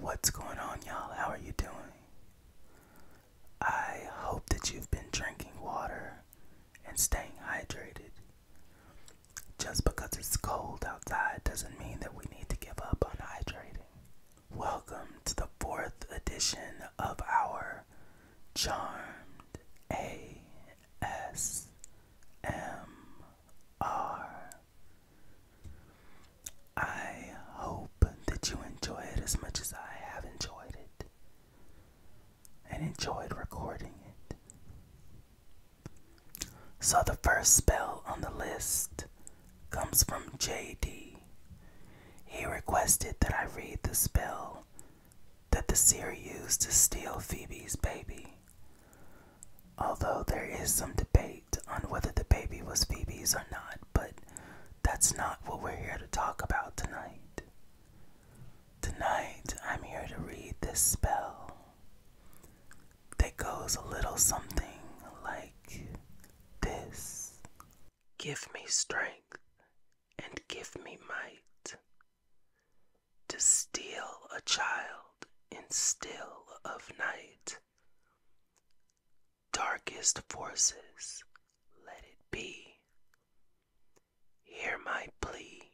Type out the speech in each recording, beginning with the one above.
What's going on, y'all? How are you doing? I hope that you've been drinking water and staying hydrated. Just because it's cold outside doesn't mean that we need to give up on hydrating. Welcome to the fourth edition of our Charmed ASMR I hope that you enjoy it as much as I have enjoyed it and enjoyed recording it. So, the first spell on the list comes from JD. He requested that I read the spell that the seer used to steal Phoebe's baby. Although there is some debate on whether the baby was Phoebe's or not, but that's not what we're here to talk about tonight. Tonight, I'm here to read this spell that goes a little something like this Give me strength and give me might to steal a child in still of night darkest forces, let it be. Hear my plea,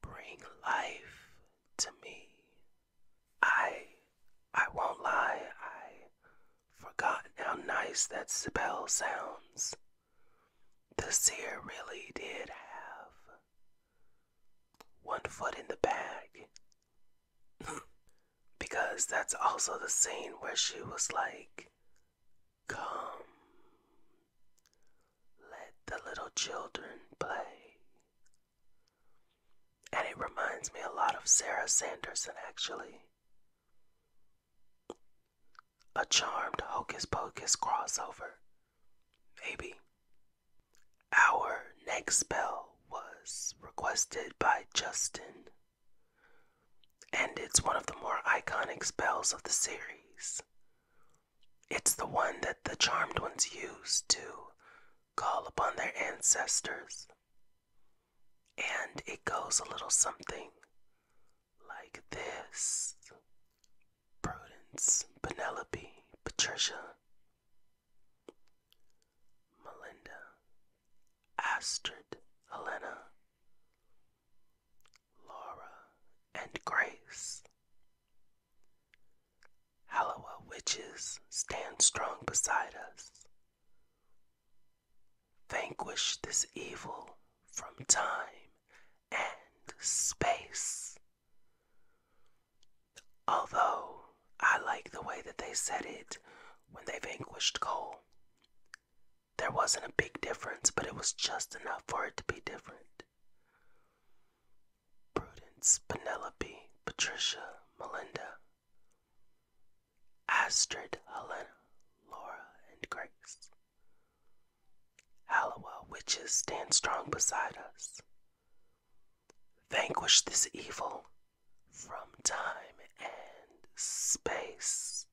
bring life to me. I, I won't lie, I forgot how nice that spell sounds. The seer really did have one foot in the bag because that's also the scene where she was like, Come, let the little children play. And it reminds me a lot of Sarah Sanderson, actually. A charmed hocus pocus crossover. Maybe. Our next spell was requested by Justin, and it's one of the more iconic spells of the series. It's the one that the Charmed Ones use to call upon their ancestors, and it goes a little something like this Prudence, Penelope, Patricia, Melinda, Astrid, Helena, Laura, and Grace. Hallowa witches stand strong beside us. Vanquish this evil from time and space. Although I like the way that they said it when they vanquished Cole. There wasn't a big difference, but it was just enough for it to be different. Prudence, Penelope, Patricia, Melinda, Astrid, Helena, Laura, and Grace. Hallowell, witches, stand strong beside us. Vanquish this evil from time and space.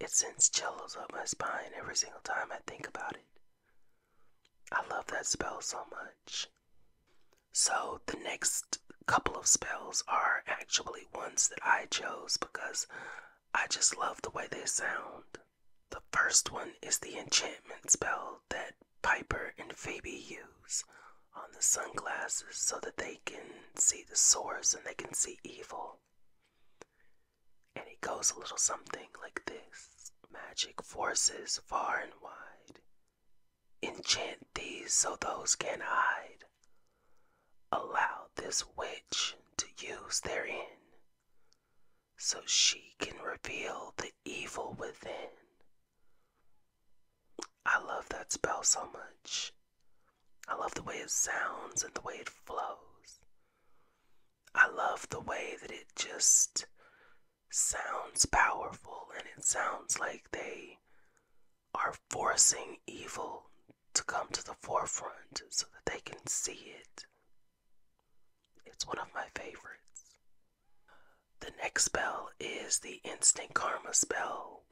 It sends chills up my spine every single time I think about it. I love that spell so much. So, the next couple of spells are actually ones that I chose because I just love the way they sound. The first one is the enchantment spell that Piper and Phoebe use on the sunglasses so that they can see the source and they can see evil. And it goes a little something like this Magic forces far and wide enchant these so those can hide. Allow this witch to use therein so she can reveal the evil within. I love that spell so much. I love the way it sounds and the way it flows. I love the way that it just sounds powerful and it sounds like they are forcing evil to come to the forefront so that they can see it. It's one of my favorites. The next spell is the Instant Karma spell.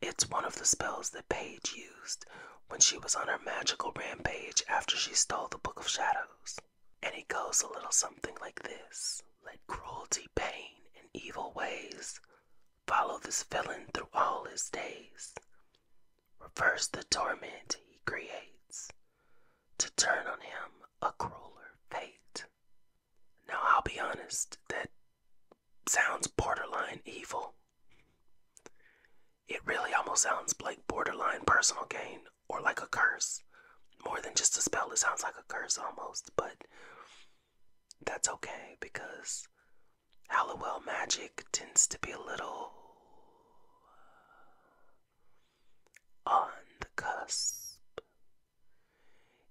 It's one of the spells that Paige used when she was on her magical rampage after she stole the Book of Shadows. And it goes a little something like this Let cruelty, pain, and evil ways follow this villain through all his days. Reverse the torment he creates to turn on him a crueler fate. Now, I'll be honest, that sounds borderline evil. It really almost sounds like borderline personal gain or like a curse. More than just a spell, it sounds like a curse almost, but that's okay because Hallowell magic tends to be a little uh, on the cusp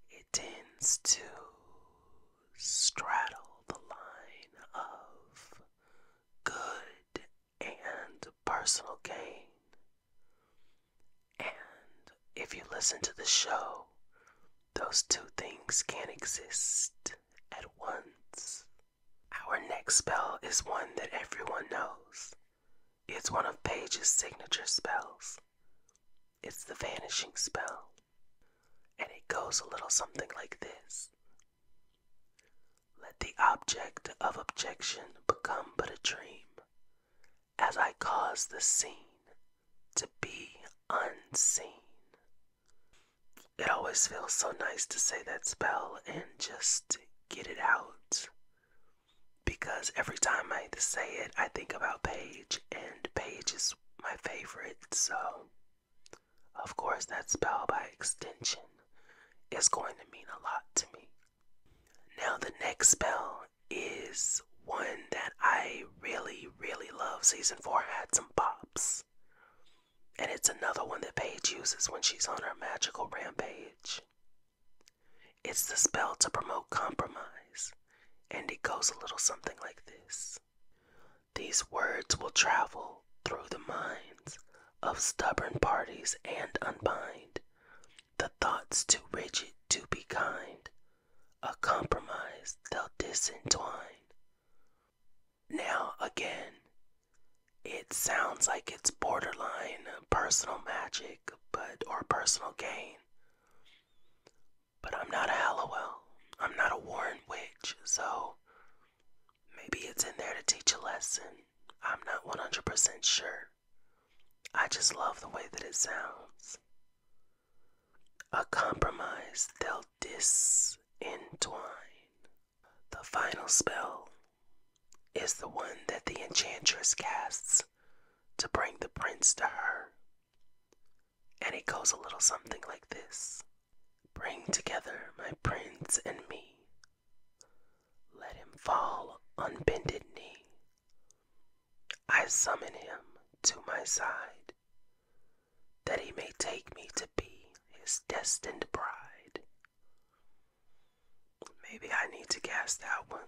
it tends to straddle the line of good and personal gain. And if you listen to the show, those two things can't exist at once. Our next spell is one that everyone knows. It's one of Paige's signature spells. It's the vanishing spell, and it goes a little something like this Let the object of objection become but a dream, as I cause the scene to be unseen. It always feels so nice to say that spell and just get it out because every time I say it, I think about Paige, and Paige is my favorite, so of course, that spell by extension is going to mean a lot to me. Now, the next spell is one that I really, really love. Season 4 had some pops. And it's another one that Paige uses when she's on her magical rampage. It's the spell to promote compromise, and it goes a little something like this These words will travel through the minds of stubborn parties and unbind the thoughts too rigid to be kind. A compromise they'll disentwine. Now, again, it sounds like it's borderline personal magic but or personal gain. But I'm not a Hallowell. I'm not a Warren Witch, so maybe it's in there to teach a lesson. I'm not 100% sure. I just love the way that it sounds. A compromise they'll disentwine. The final spell is the one that the enchantress casts to bring the prince to her. And it goes a little something like this Bring together my prince and me. Let him fall on bended knee. I summon him to my side, that he may take me to be his destined bride. Maybe I need to guess that one.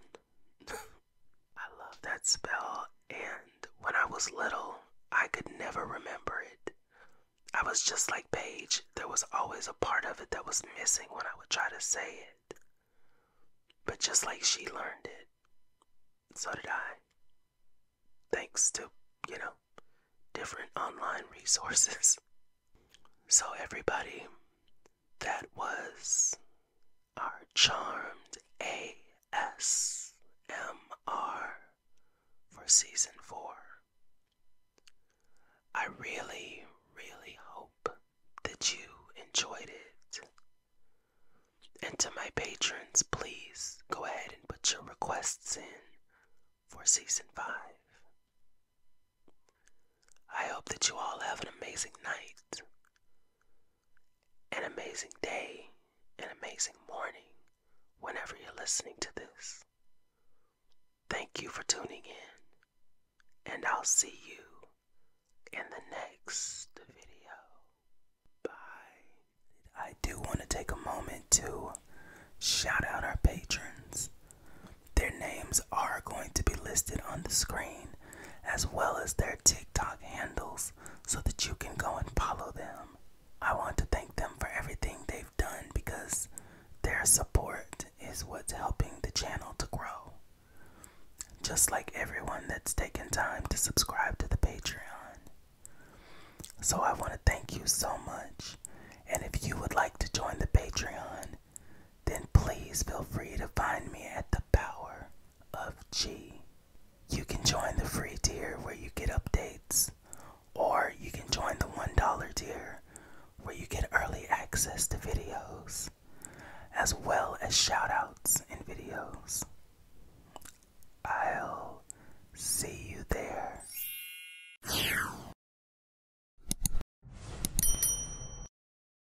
I love that spell, and when I was little, I could never remember it. I was just like Paige, there was always a part of it that was missing when I would try to say it. But just like she learned it, so did I. Thanks to, you know, different online resources. So, everybody, that was our charmed ASMR for season four. I really, really hope that you enjoyed it. And to my patrons, please go ahead and put your requests in for season five. I hope that you all have an amazing night, an amazing day, an amazing morning whenever you're listening to this. Thank you for tuning in, and I'll see you in the next video. Bye. I do want to take a moment to shout out our patrons. Their names are going to be listed on the screen as well as their TikTok handles so that you can go and follow them. I want to thank them for everything they've done because their support is what's helping the channel to grow. Just like everyone that's taken time to subscribe to the Patreon. So I want to thank you so much. And if you would like to join the Patreon, then please feel free to find me at the Power of G. You can join the free tier where you get updates, or you can join the $1 tier where you get early access to videos, as well as shoutouts in videos. I'll see you there.